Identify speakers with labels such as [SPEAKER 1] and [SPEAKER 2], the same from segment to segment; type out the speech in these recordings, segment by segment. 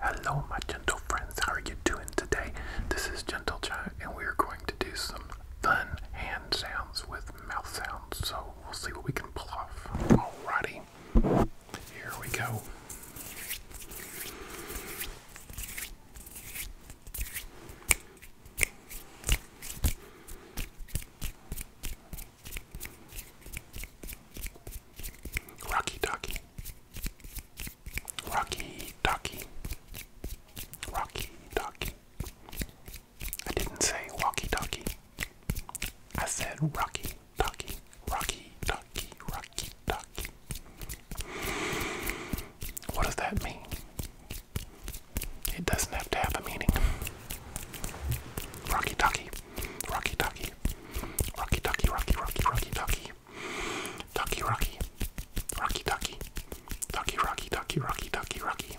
[SPEAKER 1] Hello, my gentle friends. How are you doing today? This is Gentle Giant, and we are going to do some fun hand sounds with mouth sounds. So we'll see what we can pull off. Alrighty, here we go. Rocky Ducky. Rocky Ducky. Rocky Ducky. I didn't say walkie talkie. I said rocky talkie. Rocky talkie. Rocky talkie. What does that mean? It doesn't have to have a meaning. Rocky talkie. Rocky Ducky. Rocky Ducky, Rocky, Rocky, Rocky Ducky. Ducky Rocky. Rocky Ducky. Ducky Rocky Ducky Rocky Ducky Rocky.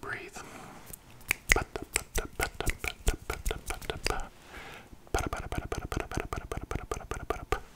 [SPEAKER 1] Breathe.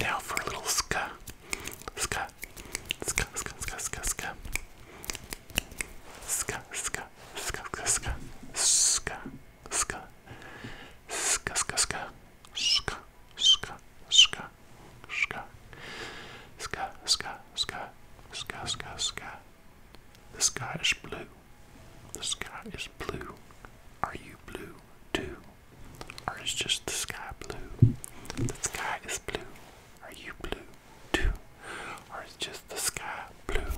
[SPEAKER 1] Now for a little ska. Ska. Ska, ska, ska, ska, ska. Ska, ska, ska, ska, ska. Ska, ska. Ska, ska, ska. Ska, ska, ska ska, ska, ska, ska, ska, ska, ska. The sky is blue. The sky is blue. Are you blue too? Or is just the sky blue? The sky is blue. Are you blue too? Or is just the sky blue?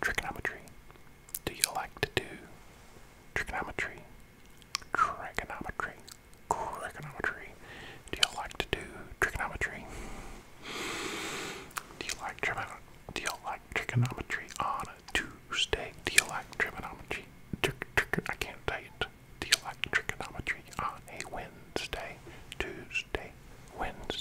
[SPEAKER 1] Trigonometry. Trigonometry. Do you like to do trigonometry? Trigonometry. Trigonometry. Do you like to do trigonometry? Do you like trigonometry? Do you like trigonometry on a Tuesday? Do you like trigonometry? Tr tr I can't date. Do you like trigonometry on a Wednesday? Tuesday, Wednesday.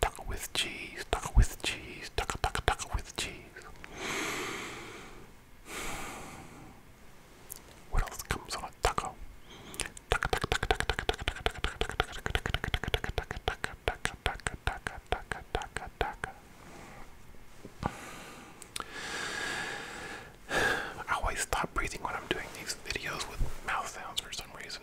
[SPEAKER 1] Taco with cheese, taco with cheese, taco, taco, taco with cheese. What else comes on a taco? Taco, taco, taco, taco, taco, taco, taco, taco, taco, taco, taco, taco, taco, taco, taco, I always stop breathing when I'm doing these videos with mouth sounds for some reason.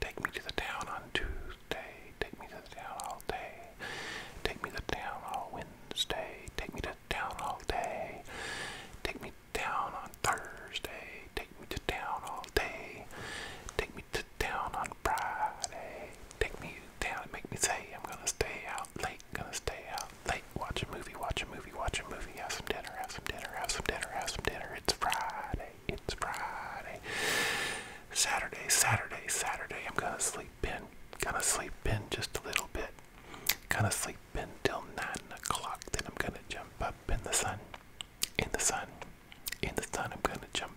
[SPEAKER 1] Take me to the town on Tuesday. Take me to the town all day. Take me to the town all Wednesday. Take me to the town all day. Take me down on Thursday. Take me to town all day. Take me to town on Friday. Take me to town and make me say I'm gonna stay out late, gonna stay out late. Watch a movie, watch a movie, watch a movie. Have some dinner, have some dinner, have some dinner, have some dinner. It's Friday, it's Friday. Saturday, Saturday, Saturday. I'm gonna sleep in, gonna sleep in just a little bit. Gonna sleep in till nine o'clock. Then I'm gonna jump up in the sun, in the sun, in the sun. I'm gonna jump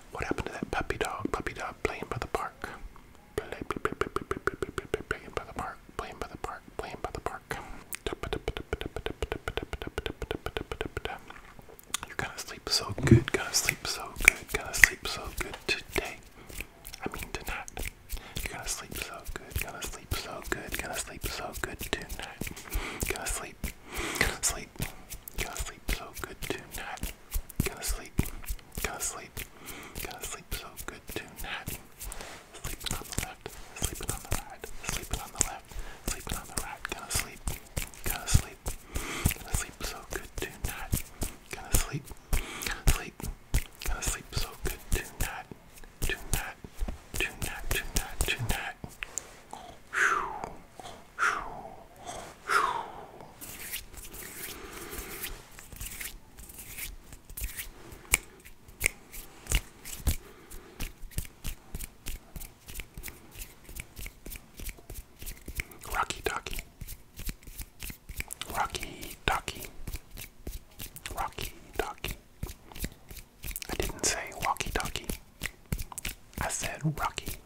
[SPEAKER 1] What happened to that puppy dog? Puppy dog playing by the park. Play, play, play, play, play, play, play, play, play, playing by the park. Playing by the park. Playing by the park. You're gonna sleep so good. Gonna sleep so good. Gonna sleep so good today. I mean tonight. You're gonna sleep so good. Gonna sleep so good. Gonna sleep so good tonight. Gonna sleep. Gonna sleep sleep. Gonna sleep so good tonight. Gonna sleep. Gonna sleep. Gonna sleep so good tonight. Sleeping on the left. Sleeping on the right. Sleeping on the left. Sleeping on the right. Gonna sleep. Gonna sleep. Gonna sleep so good tonight. Gonna sleep. Sleep. Gonna sleep so good tonight. Tonight. Tonight. Tonight. Tonight. Rocky Ducky. Rocky Ducky. Rocky Ducky. I didn't say walkie talkie. I said Rocky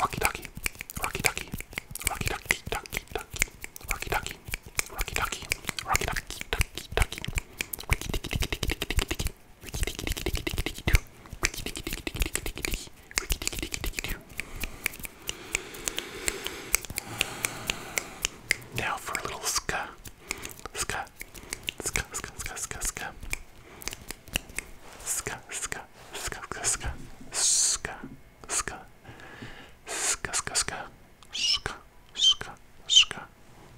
[SPEAKER 1] Rocky Ducky, Rocky Ducky, Rocky Ducky, Ducky, Ducky, Rocky Ducky, Rocky Ducky, Rocky Ducky, Ducky, Ducky, Ricky Dicky Dicky Dicky Dicky Dicky Dicky, Ricky Dicky Dicky Dicky Dicky Dicky Doo, Ricky Dicky Dicky Dicky Dicky Dicky Dicky, Ricky Dicky Dicky Dicky Doo. Now for a little ska, ska, Ska, ska, ska, ska, ska. Ska, ska, ska, ska, ska. Ska, ska. Ska, ska, ska. Ska, ska, ska.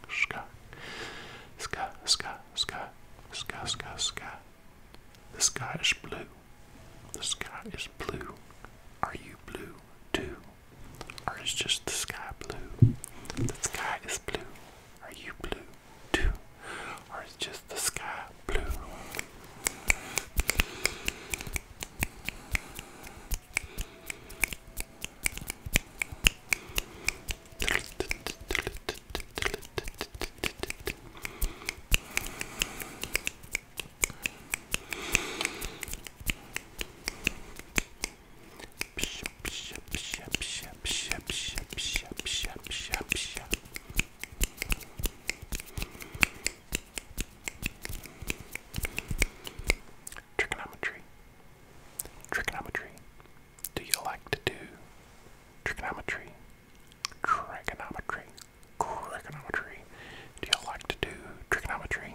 [SPEAKER 1] Ska. Ska, ska, ska. Ska, ska, ska. The sky is blue. The sky is blue. Are you blue too? Or is just the sky blue? The sky is blue. Are you blue too? Or is just the sky blue? Trigonometry. Trigonometry. Do you like to do trigonometry? Trigonometry. Trigonometry. Do you like to do trigonometry?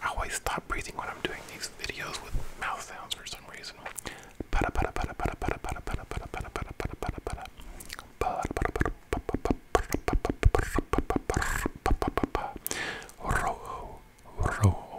[SPEAKER 1] I always stop breathing when I'm doing these videos with mouth sounds for some reason. Rojo, rojo,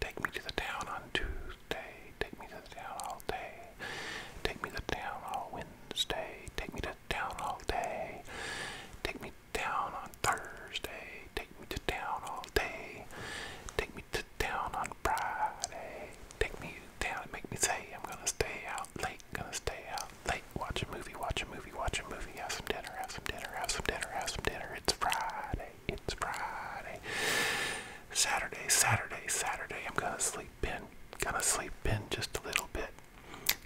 [SPEAKER 1] Take me to the town on Tuesday. Take me to the town all day. Take me to the town all Wednesday. Take me to the town all day. Take me down on Thursday. Take me to town all day. Take me to town on Friday. Take me down and make me say I'm gonna stay out late. Gonna stay out late. Watch a movie. Watch a movie. Watch a movie. Have some dinner. Have some dinner. Have some dinner. Have some dinner. It's Friday. It's Friday. Saturday, Saturday, Saturday. I'm gonna sleep in. Gonna sleep in just a little bit.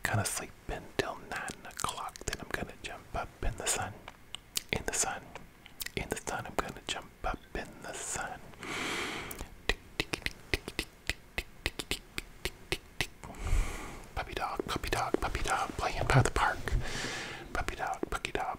[SPEAKER 1] Gonna sleep in till nine o'clock. Then I'm gonna jump up in the sun. In the sun. In the sun. I'm gonna jump up in the sun. Puppy dog, puppy dog, puppy dog, playing by the park. Puppy dog, puppy dog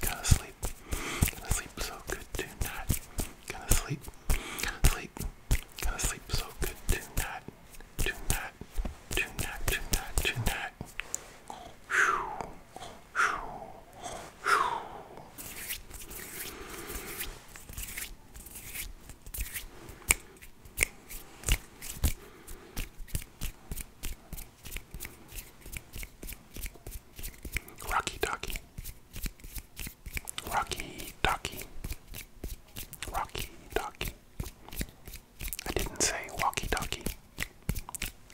[SPEAKER 1] Gonna sleep. Gonna sleep so good tonight. Gonna sleep. Sleep. Gonna sleep so good tonight. Tonight. Tonight. Tonight. Tonight. Whew. Whew. Whew. Rocky Ducky. Rocky Ducky. Rocky Ducky. I didn't say walkie talkie.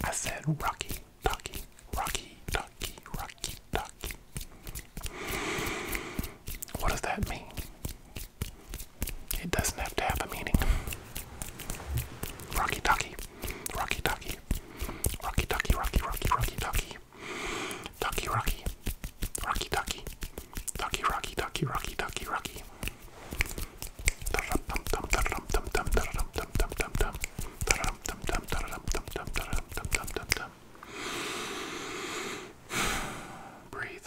[SPEAKER 1] I said rocky talkie. Rocky talkie. Rocky talkie. What does that mean? It doesn't have to have a meaning. Rocky Ducky, Rocky Ducky, Rocky Ducky, Rocky, Rocky, Rocky Ducky, Ducky Rocky, Rocky Ducky, Ducky Rocky, Ducky Rocky, Ducky Rocky. Breathe.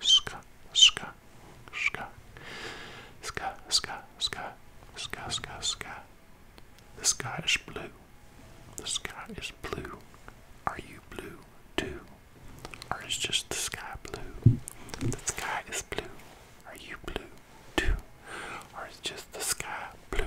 [SPEAKER 1] ska, ska, ska, ska, ska, ska, ska, ska, ska. The sky is blue. The sky is blue. Are you blue too? Or is just the sky blue? The sky is blue. Are you blue too? Or is just the sky blue?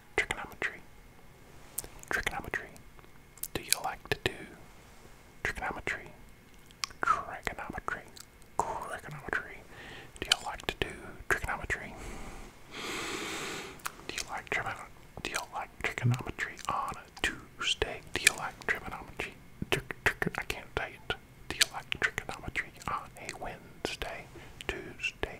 [SPEAKER 1] Trigonometry. Trigonometry. Do you like to do trigonometry? Trigonometry. Trigonometry. Do you like to do trigonometry? Do you like trigonometry? Do you like trigonometry on a Tuesday? Do you like trigonometry? Tr tr I can't date. Do you like trigonometry on a Wednesday? Tuesday,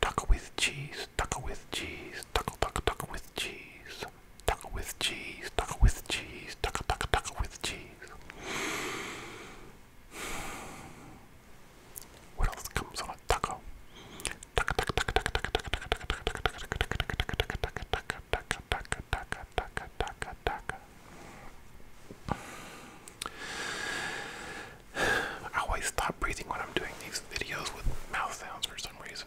[SPEAKER 1] Taco with cheese, taco with cheese, taco taco taco with cheese, taco with cheese, taco with cheese, taco taco taco with cheese. What else comes on a taco? Taco taco taco taco taco taco taco taco taco taco taco taco taco taco taco I always stop breathing when I'm doing these videos with mouth sounds for some reason.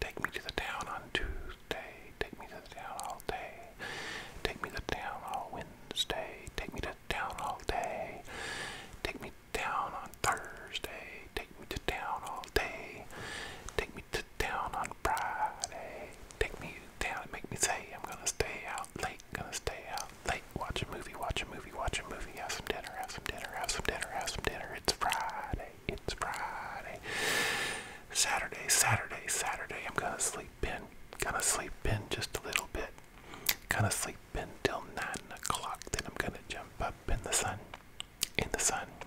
[SPEAKER 1] Take me to the town on Tuesday. Take me to the town all day. Take me to the town all Wednesday. Take me to town all day. Take me down on Thursday. Take me to town all day. Take me to down on Friday. Take me down and make me say I'm gonna stay out late, gonna stay out late. Watch a movie, watch a movie, watch a movie. Have some dinner, have some dinner, have some dinner, have some dinner. It's Friday, it's Friday. Saturday, Saturday, Saturday. I'm gonna sleep in, gonna sleep in just a little bit. Gonna sleep in till nine o'clock. Then I'm gonna jump up in the sun, in the sun.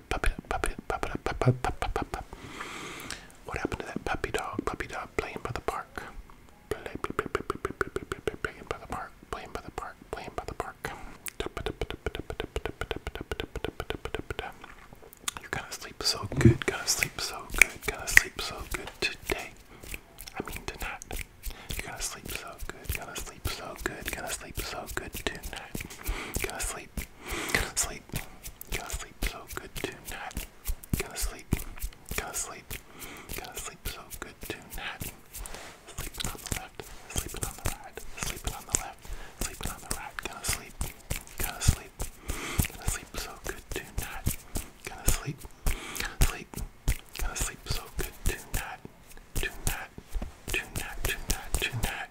[SPEAKER 1] up, pup it up, pup it up, pup it up, What happened to that puppy dog? Puppy dog playing by the park. playing by the park. Playing by the park. Playing by the park. You're gonna sleep so good. Gonna sleep so good. Gonna sleep so good today. I mean tonight. You're gonna sleep so good. Gonna sleep sleep so good, gonna sleep so good tonight. Gonna sleep, gonna sleep, gonna sleep so good tonight. Gonna sleep, gonna sleep, gonna sleep so good tonight. Sleeping on the left, sleeping on the right, sleeping on the left, sleeping on the right. Gonna sleep, gonna sleep, gonna sleep so good tonight. Gonna sleep, sleep, gonna sleep so good tonight tonight, tonight, tonight, tonight.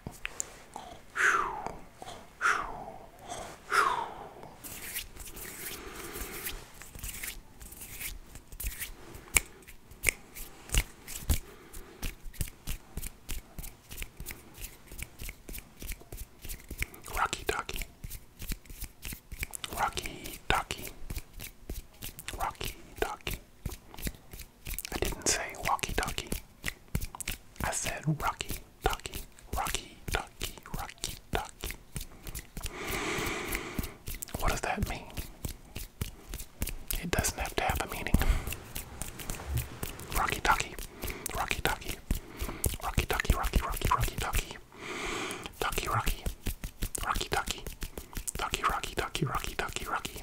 [SPEAKER 1] Rocky Ducky. Rocky Ducky. Rocky Ducky. I didn't say walkie talkie. I said rocky talkie, rocky talkie, rocky talkie. What does that mean? It doesn't have to have a meaning. Rocky talkie, rocky talkie, rocky talkie, rocky, rocky, rocky talkie, talkie, rocky, rocky talkie, talkie, rocky, talkie, rocky, talkie, rocky.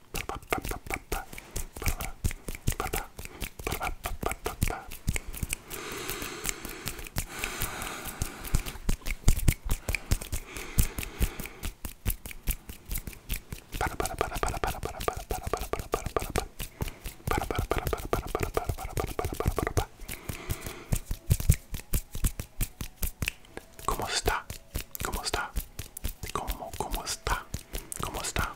[SPEAKER 1] ¿Cómo está? ¿Cómo está? ¿Cómo, cómo está? ¿Cómo está cómo está cómo está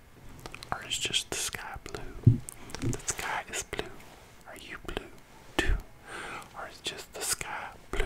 [SPEAKER 1] Or is just the sky blue? The sky is blue. Are you blue too? Or is just the sky blue?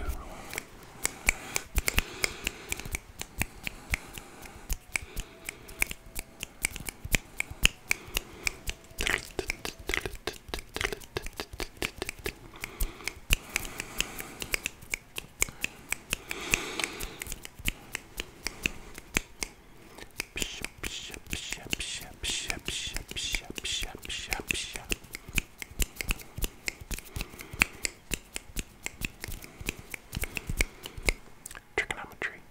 [SPEAKER 1] Trigonometry.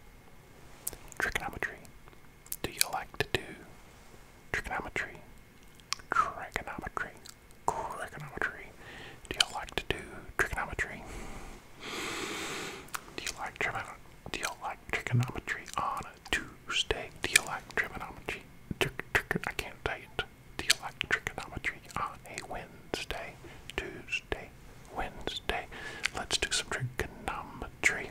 [SPEAKER 1] Trigonometry. Do you like to do trigonometry? Trigonometry. Trigonometry. Do you like to do trigonometry? Do you like trigonometry? Do you like trigonometry on a Tuesday? Do you like trigonometry? Tr tr I can't tell it. Do you like trigonometry on a Wednesday? Tuesday, Wednesday. Let's do some trigonometry.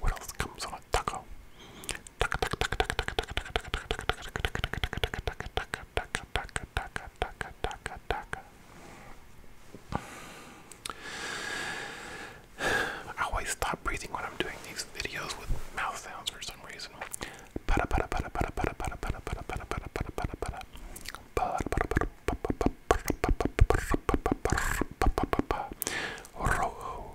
[SPEAKER 1] What else comes on a taco? I always stop breathing when I'm doing these videos with mouth sounds for some reason. Rojo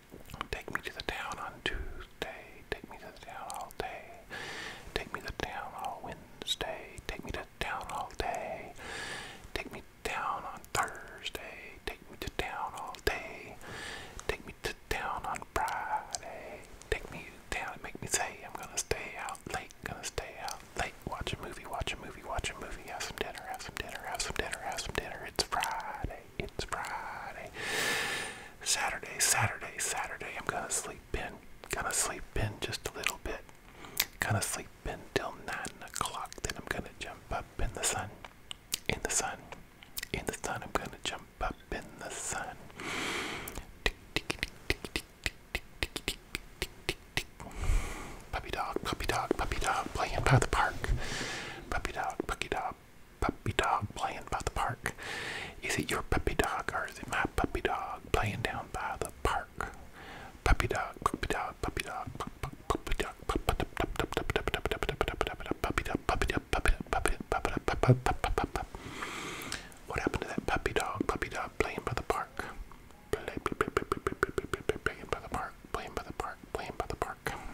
[SPEAKER 1] Take me to the town on Tuesday. Take me to the town all day. Take me to the town all Wednesday. Take me to the town all day. Take me down on Thursday. Take me to town all day. Take me to town on Friday. Take me to town and make me say I'm gonna stay out late. Gonna stay out late. Watch a movie. Watch a movie. Watch a movie. Have some dinner. Have some dinner. Have some dinner. Have some dinner. It's Friday. It's Friday. Saturday, Saturday, Saturday. I'm gonna sleep in. Gonna sleep in just a little bit. Gonna sleep in till nine o'clock. Then I'm gonna jump up in the sun. In the sun. In the sun. I'm gonna jump up in the sun. Puppy dog, puppy dog, puppy dog, playing by the park puppy dog, puppy dog, puppy dog playing by the park. Is it your puppy dog or is it my puppy dog playing down by the park? Puppy dog, puppy dog, puppy dog, puppy dog, puppy dog, puppy dog, puppy dog, puppy dog, What happened to that puppy dog, puppy dog playing by the park? Playing by the park, playing by the park, playing by the park.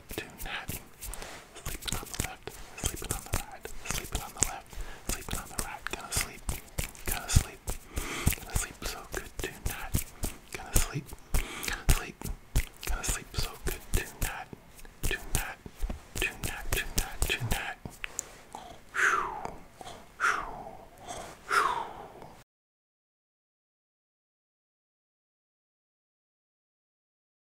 [SPEAKER 1] good to napping. Sleeping on the left, sleeping on the right, sleeping on the left, sleeping on the right, gonna sleep, gonna sleep, gonna sleep so good tonight, gonna sleep, sleep, gonna sleep so good tonight, tonight, tonight, tonight, tonight. Whew, whew, whew.